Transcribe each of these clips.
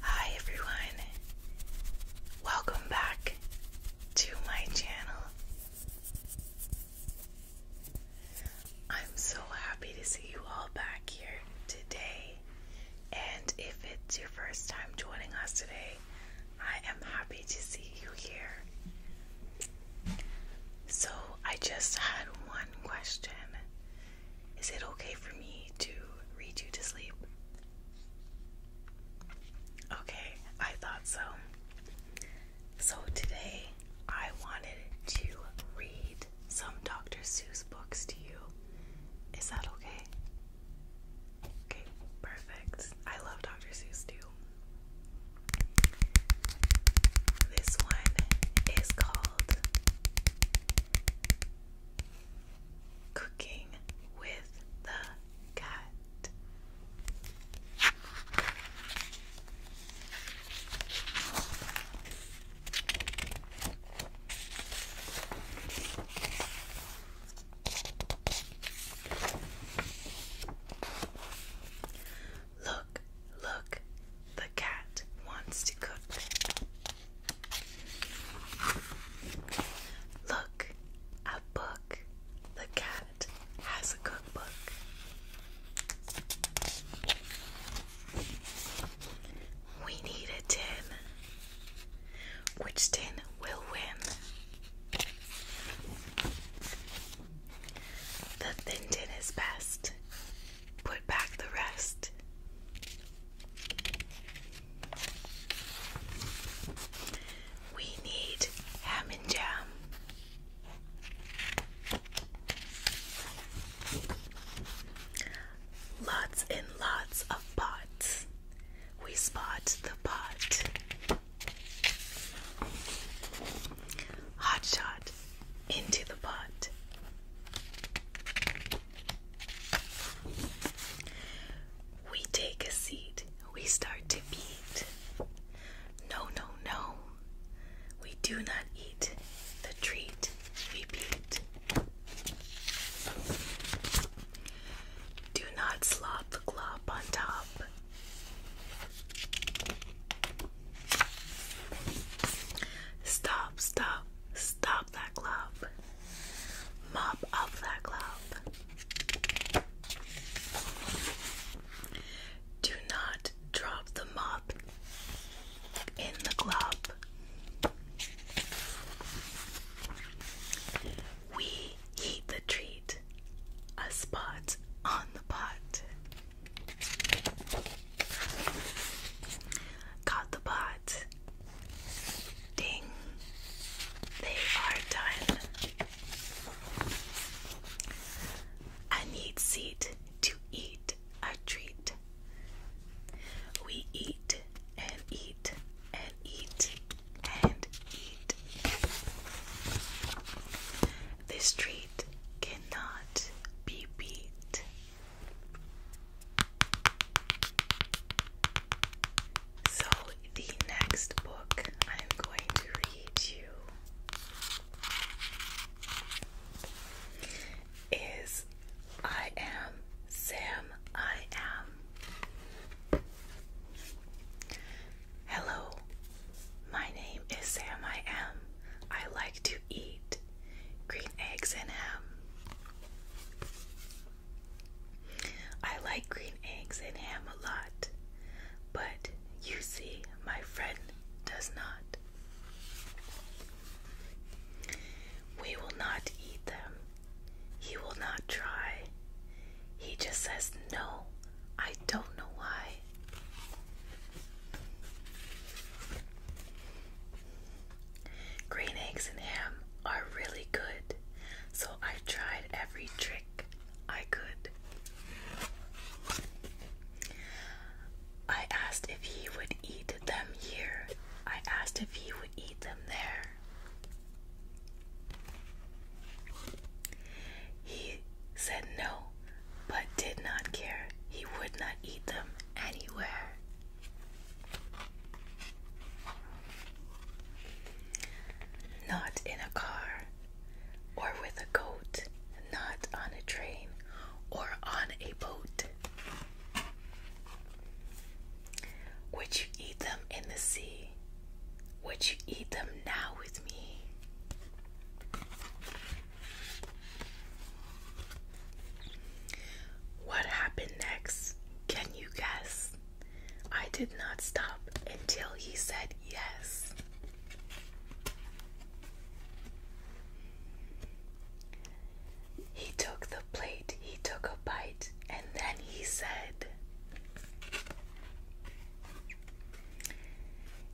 Hi everyone, welcome back to my channel. I'm so happy to see you all back here today. And if it's your first time joining us today, I am happy to see you here. So, I just had one question Is it okay for me to read you to sleep? Okay, I thought so. So, today I wanted to read some Dr. Seuss books to you. Is that okay? Okay, perfect. I love Dr. Seuss too. This one is called Cooking with the Cat. Look, look, the cat wants to cook. Look, a book. The cat has a cookbook. We need a 10. Which 10 will win? The thin 10 is best. Put back the rest. We need ham and jam. Lots and lots of pots. We spot the pot. Hot shot into the pot. We take a seat. We start to beat. No, no, no. We do not eat the treat we beat. Do not slop the glop on top. Stop, stop, stop that glop. Mop up that glop. Do not drop the mop in the glove. We heat the treat, a spot on the pot. Caught the pot. Ding. They are done. I need seat to eat treat, a treat. We eat and eat and eat and eat. This treat cannot be beat. So, the next book I'm going to read you is I am Sam. I am. Hello, my name is Sam. I am. I like to eat green eggs and ham. I like green eggs and ham a lot, but you see, my friend does not. We will not eat them. He will not try. He just says, No, I don't know why. Green eggs and ham are really good, so I tried every trick I could. I asked if he would eat them here. I asked if he would eat them there. He said no, but did not care. He would not eat them anywhere. Not in a car, or with a goat, not on a train or on a boat. Would you eat them in the sea? Would you eat them now with me? What happened next? Can you guess? I did not stop until he said yes. He took the plate, he took a bite, and then he said,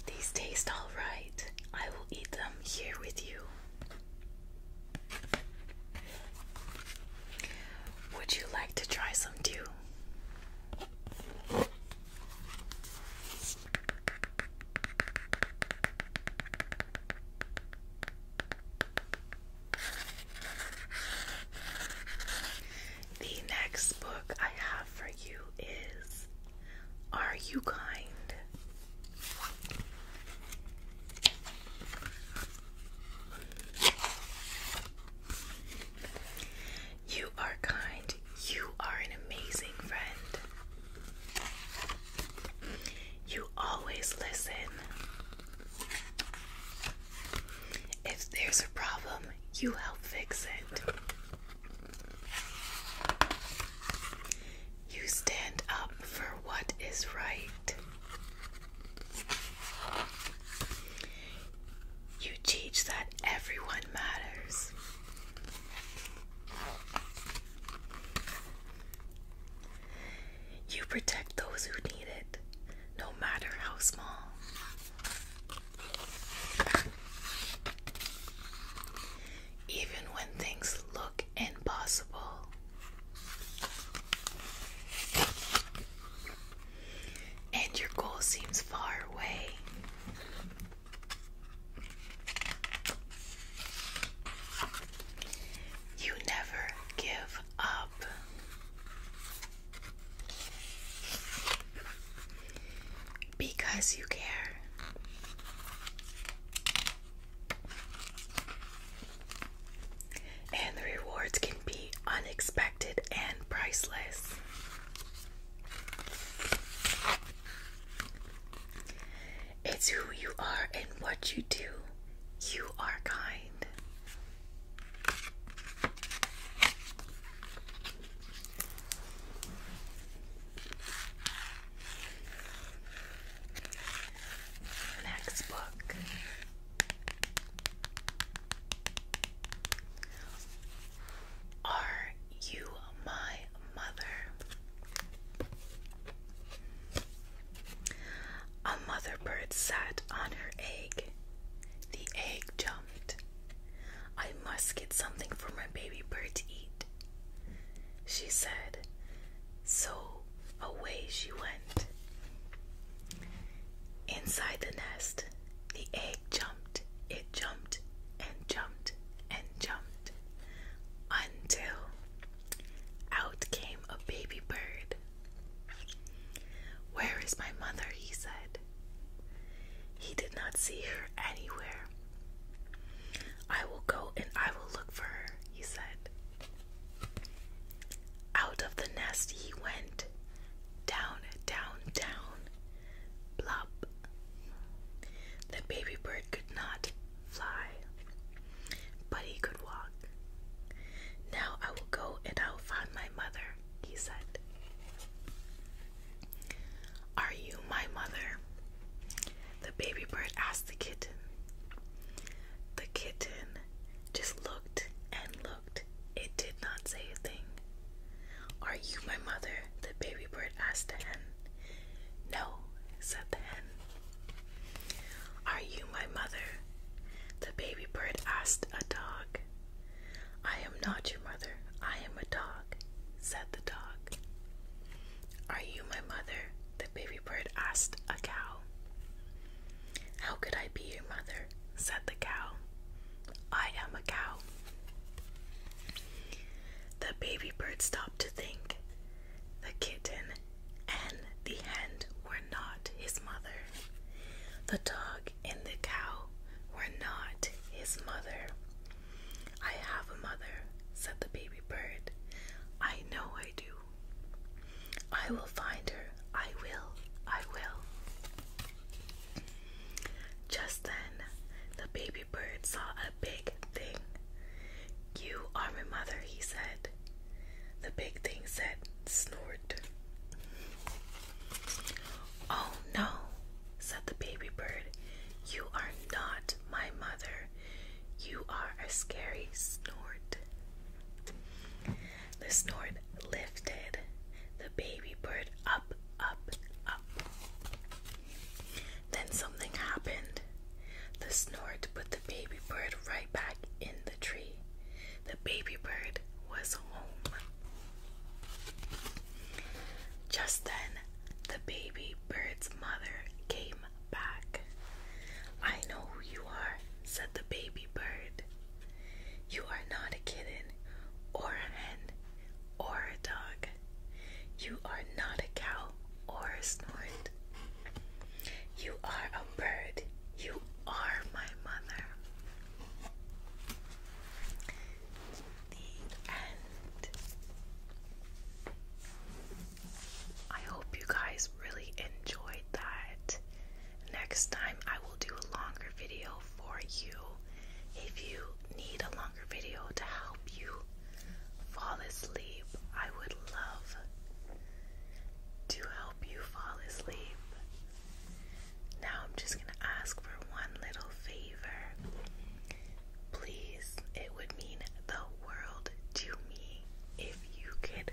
These taste all right. I will eat them here with you. Would you like to try some too? The next book I have for you is Are You Kind? You are kind. You are an amazing friend. You always listen. If there's a problem, you help fix it. You stand up for what is right. You teach that everyone matters. You protect those who need it, no matter how small. Even when things look impossible, and your goal seems far away. You never give up. Because you care. And the rewards can be unexpected and priceless. It's who you are and what you do. You are kind. Next book. Are you my mother? A mother bird sat on her egg. The egg jumped. I must get something for my baby bird to eat, she said. So away she went. Inside the nest, the egg jumped jumped, it jumped, and jumped, and jumped, until out came a baby bird. Where is my mother? he said. He did not see her anywhere. I will go and I will look for her, he said. Out of the nest he went, down, down, down, plop. The baby bird could not fly, but he could walk. Now I will go and I will find my mother, he said. Are you my mother? The baby bird asked the kitten. The kitten just looked and looked it did not say a thing. Are you my mother? the baby bird asked the hen. No, said the hen. Are you my mother? the baby bird asked a dog. I am not your mother, I am a dog, said the dog. Are you my mother? the baby bird asked a cow. How could I be your mother? said the cow. I am a cow. The baby bird stopped to think. The kitten and the hen were not his mother. The dog and the cow were not his mother. I have a mother, said the baby bird. I know I do. I will find her. I will. I will. Just then, the baby bird saw a big thing. You are my mother, he said. The big thing said, snort. Oh no, said the baby bird. You are not my mother. You are a scary snort. The snort lifted the baby bird up, up, up. Then something happened. The snort put the baby bird right back in the tree. The baby bird was home. Just then, the baby bird's mother came back. I know who you are, said the baby bird. You are not a kitten, or a hen, or a dog. You are not a cow, or a snort. You are a bird. You are my mother. The end. I hope you guys really enjoyed that. Next time, I will do a longer video for you if you need a longer video to help you fall asleep. I would love to help you fall asleep. Now, I'm just going to ask for one little favor. Please, it would mean the world to me if you could